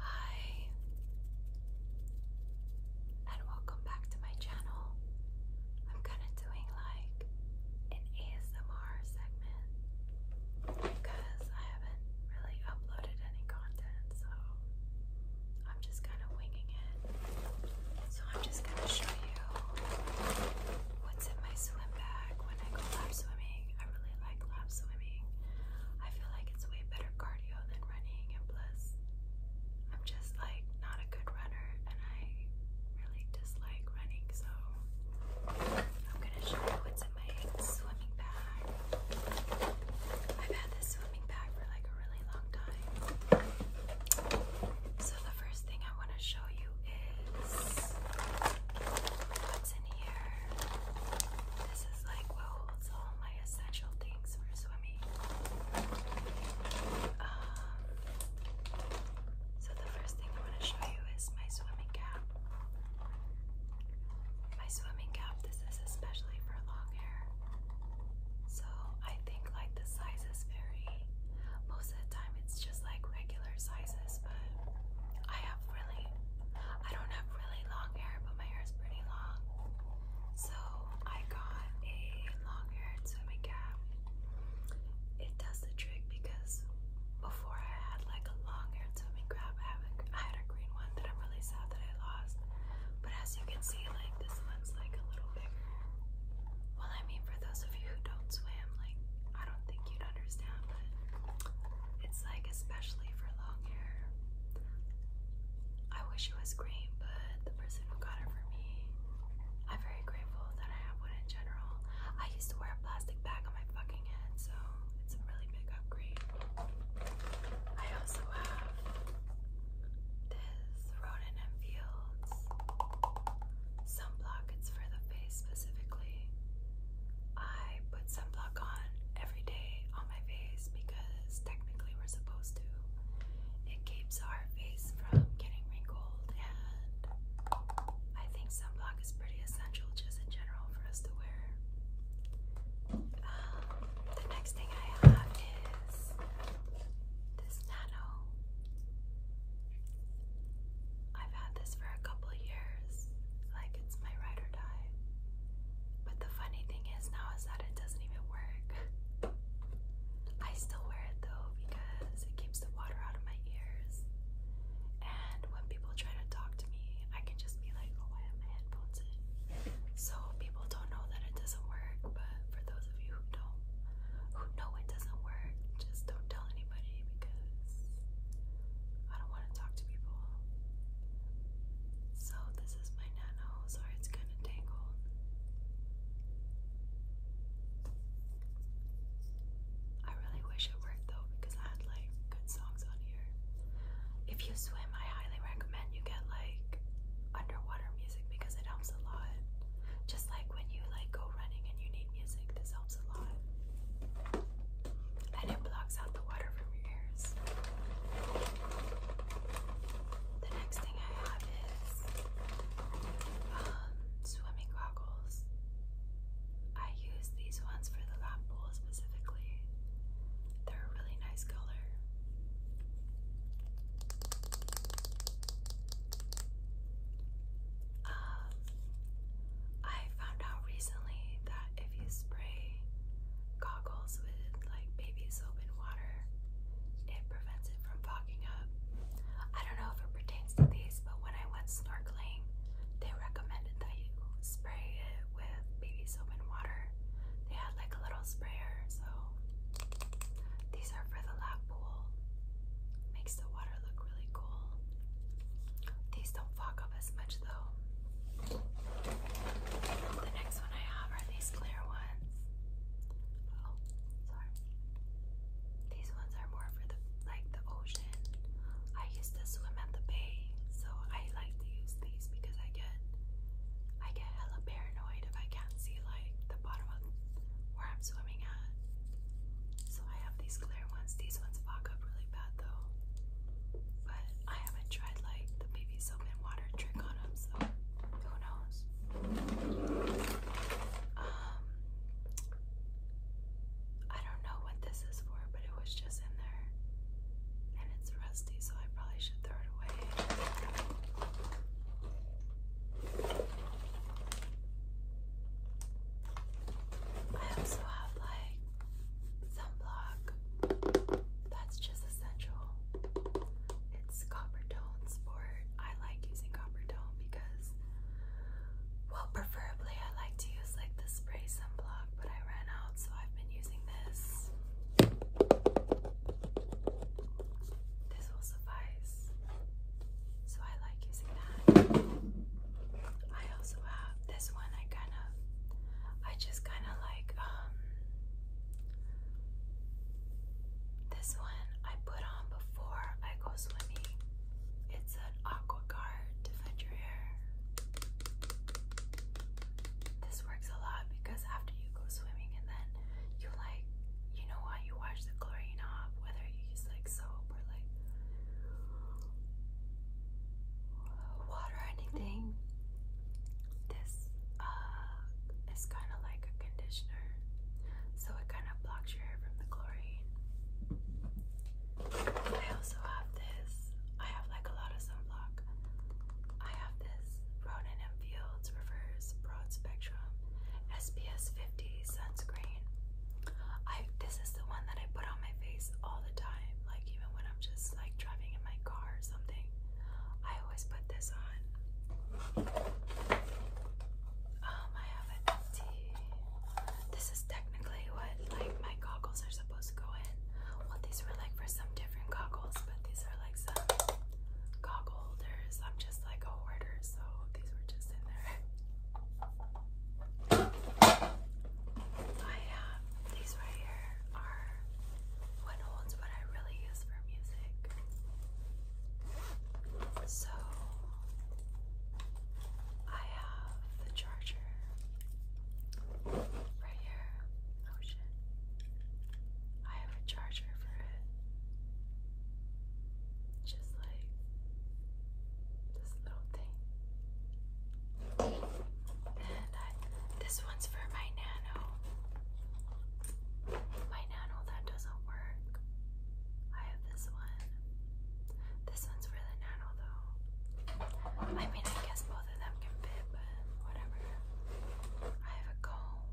Hi, and welcome back to my channel. I'm kind of doing like an ASMR segment because I haven't really uploaded any content, so I'm just kind of winging it. So I'm just going to show you what's in my swim bag when I go lap swimming. I really like lap swimming. I feel like it's way better cardio than running, and plus, I'm just like not a good runner, and I really dislike running. So I'm gonna show you what's in my swimming bag. I've had this swimming bag for like a really long time. So the first thing I want to show you is what's in here. This is like what holds all my essential things for swimming. Um, so the first thing I want to show you is my swimming cap. My swimming cap. This is especially for long hair. So I think like the sizes vary. Most of the time it's just like regular sizes, but I have I don't have really long hair, but my hair is pretty long. So I got a long hair swimming cap. It does the trick because before I had like a long hair swimming cap, I, had a green one that I'm really sad that I lost. But as you can see, like this one's like a little bigger. Well, I mean, for those of you who don't swim, like I don't think you'd understand, it's like, especially for long hair. I wish it was green, but the person who got it for me, I'm very grateful that I have one in general. I used to wear a plastic bag on my fucking head, so it's a really big upgrade. I also have this Roden and Fields sunblock. It's for the face specifically. I put sunblock on every day on my face because technically we're supposed to. It keeps our face from getting wrinkled, and I think sunblock is pretty essential just in general for us to wear. Um, the next thing I have is this Nano. I've had this for a couple years. Like it's my ride but the funny thing is now is that it doesn't even work. I still wear it though because it keeps the water out of my ears. And when people try to talk to me, I can just be like, oh, I have my headphones in. So people don't know that it doesn't work, but for those of you who do who know it doesn't work, just don't tell anybody because I don't want to talk to people. So this is my nano, sorry it's kind of tangled. I really wish it worked though because I had like good songs on here. If you swim, I highly recommend you get like underwater music because it helps a lot. Just like when you like go running and you need music, this helps a lot and it blocks out the water from your ears. The next thing I have is um, swimming goggles. I use these ones for the lap pool specifically. They're a really nice color. Um, I found out recently that if you spray goggles with like baby soap and water, it prevents it from fogging up. I don't know if it pertains to these, but when I went snorkeling, they recommended that you spray it with baby soap and water. They had like a little sprayer, so these are for the lap pool. Makes the water look really cool. These don't fuck up as much though. The next one I have are these clear ones. Oh, sorry. These ones are more for the like the ocean. I used to swim at the bay, so I like to use these because I get I get hella paranoid if I can't see like the bottom of where I'm swimming at. So I have these clear ones. These ones fog up really bad though. But I haven't tried like the baby soap and water trick on them, so who knows? Um, I don't know what this is for, but it was just in there, and it's rusty, so I probably should throw it away. I also have like sunblock. That's just essential. It's copper tone sport. I like using copper tone because, well, preferably I like to use like the spray sunblock, but I ran out, so I've been using this. This will suffice. So I like using that. I also have this one. I kind of I just kind of like um, this one I put on before I go swimming. It's an aqua guard to fend your hair. This works a lot because after you go swimming and then you like you know why you wash the chlorine off, whether you use like soap or like water anything. This uh, is kind of like a conditioner, so it kind of blocks your hair from the chlorine. I also have this. I have like a lot of sunblock. I have this Ronin and Fields Reverse Broad Spectrum SPF 50 sunscreen. this is the one that I put on my face all the time. Like even when I'm just like driving in my car or something, I always put this on. Um, I have an empty. This is technically what like my goggles are supposed to go in. Well, these were like for some different goggles, but these are like some goggle holders. I'm just like a hoarder, so these were just in there. I have these right here are what holds what I really use for music. So I have the charger right here. Oh shit. I have a charger for it. Just like this little thing. And I, this one's for my nano. My nano that doesn't work. I have this one. This one's for the nano though. I mean, I guess both of them can fit, but whatever. I have a comb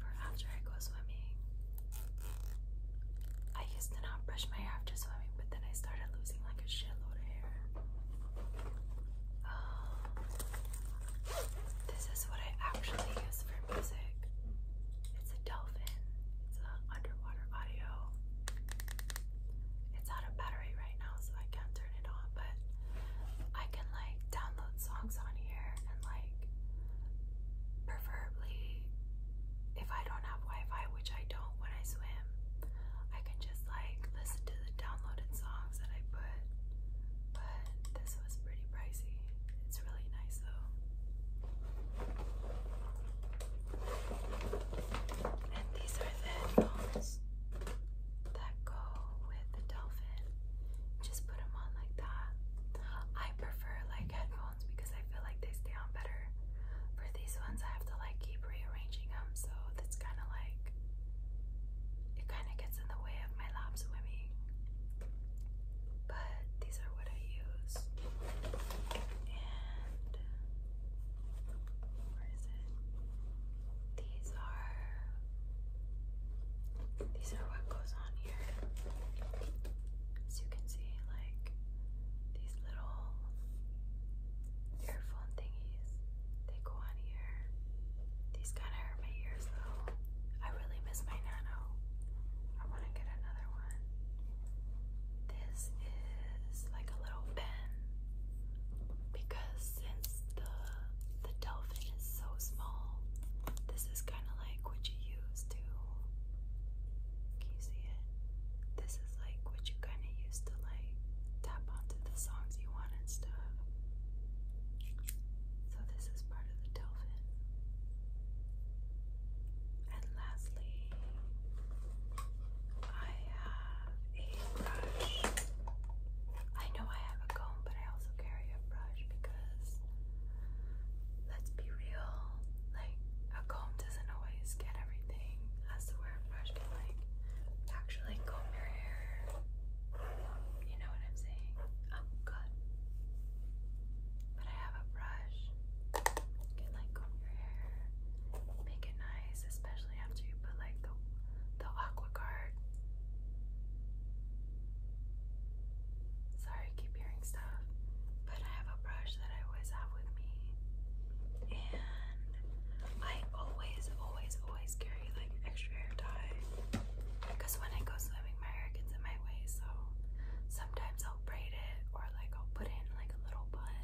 for after I go swimming. I used to not brush my hair after swimming, but then I started losing like a shitload of hair. Um, this is what I actually use for music. It's a dolphin. It's an underwater audio. It's out of battery right now, so I can't turn it on, but I can like download songs on here and like preferably if I don't have Wi-Fi, which I don't when I swim, I can just like listen to the downloaded songs that I put. But this was pretty pricey. It's really nice though. And these are the headphones that go with the dolphin. Just put them on like that. I prefer like headphones because I feel like they stay on better. For these ones, I have to like keep rearranging them, so that's kind of like it kind of gets in the way of my lap swimming. But these are what I use. And where is it? These are. These are what goes on here. As you can see, like these little earphone thingies. They go on here. These kind of hurt my ears though. I really miss my Nano. I want to get another one. This is like a little pen because since the the dolphin is so small, this is kind of like what you use to. Can you see it? This like what you kind of used to like tap onto the songs you want and stuff. So this is part of the Delphin. And lastly, I have a brush. I know I have a comb, but I also carry a brush because let's be real, like a comb doesn't always get everything as to where a brush can like actually comb your hair. You know what I'm saying? I'm good. But I have a brush. can like comb your hair, make it nice, especially after you put like the the aqua guard. Sorry, I keep hearing stuff but I have a brush that I always have with me, and I always, always, always carry like extra hair dye because when I go swimming, my hair gets in my way. So sometimes I'll braid it or like I'll put in like a little bun.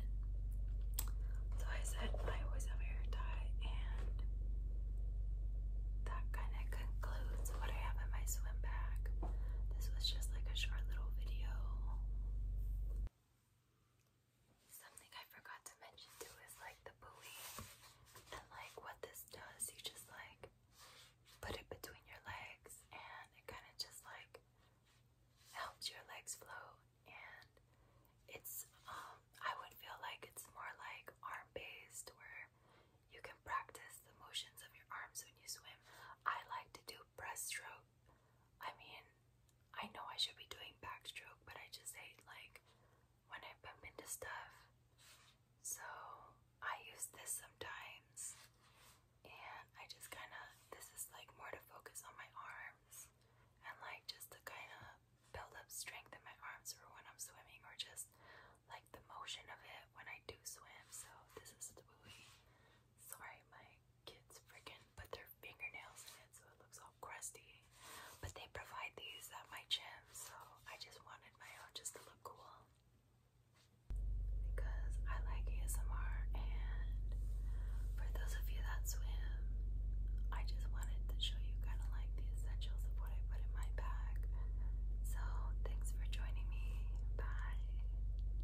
So I said I always have hair dye, and that kind of concludes what I have in my swim bag. This was just like a short little video. Something I forgot to mention too is like the buoy and like what this does. You just like put it between your legs and it kind of just like helps your legs float and it's um I would feel like it's more like arm based where you can practice the motions of your arms when you swim. I like to do breaststroke I mean, I know I should be doing backstroke, but I just hate like when I bump into stuff. So I use this sometimes, and I just kind of this is like more to focus on my arms and like just to kind of build up strength in my arms for when I'm swimming or just like the motion of it when I do swim. So this is the buoy. Sorry, my kids freaking put their fingernails in it so it looks all crusty. But they provide these at my gym, so I just wanted my own just to look cool. Because I like ASMR, and for those of you that swim, I just wanted to show you kind of like the essentials of what I put in my bag. So, thanks for joining me. Bye.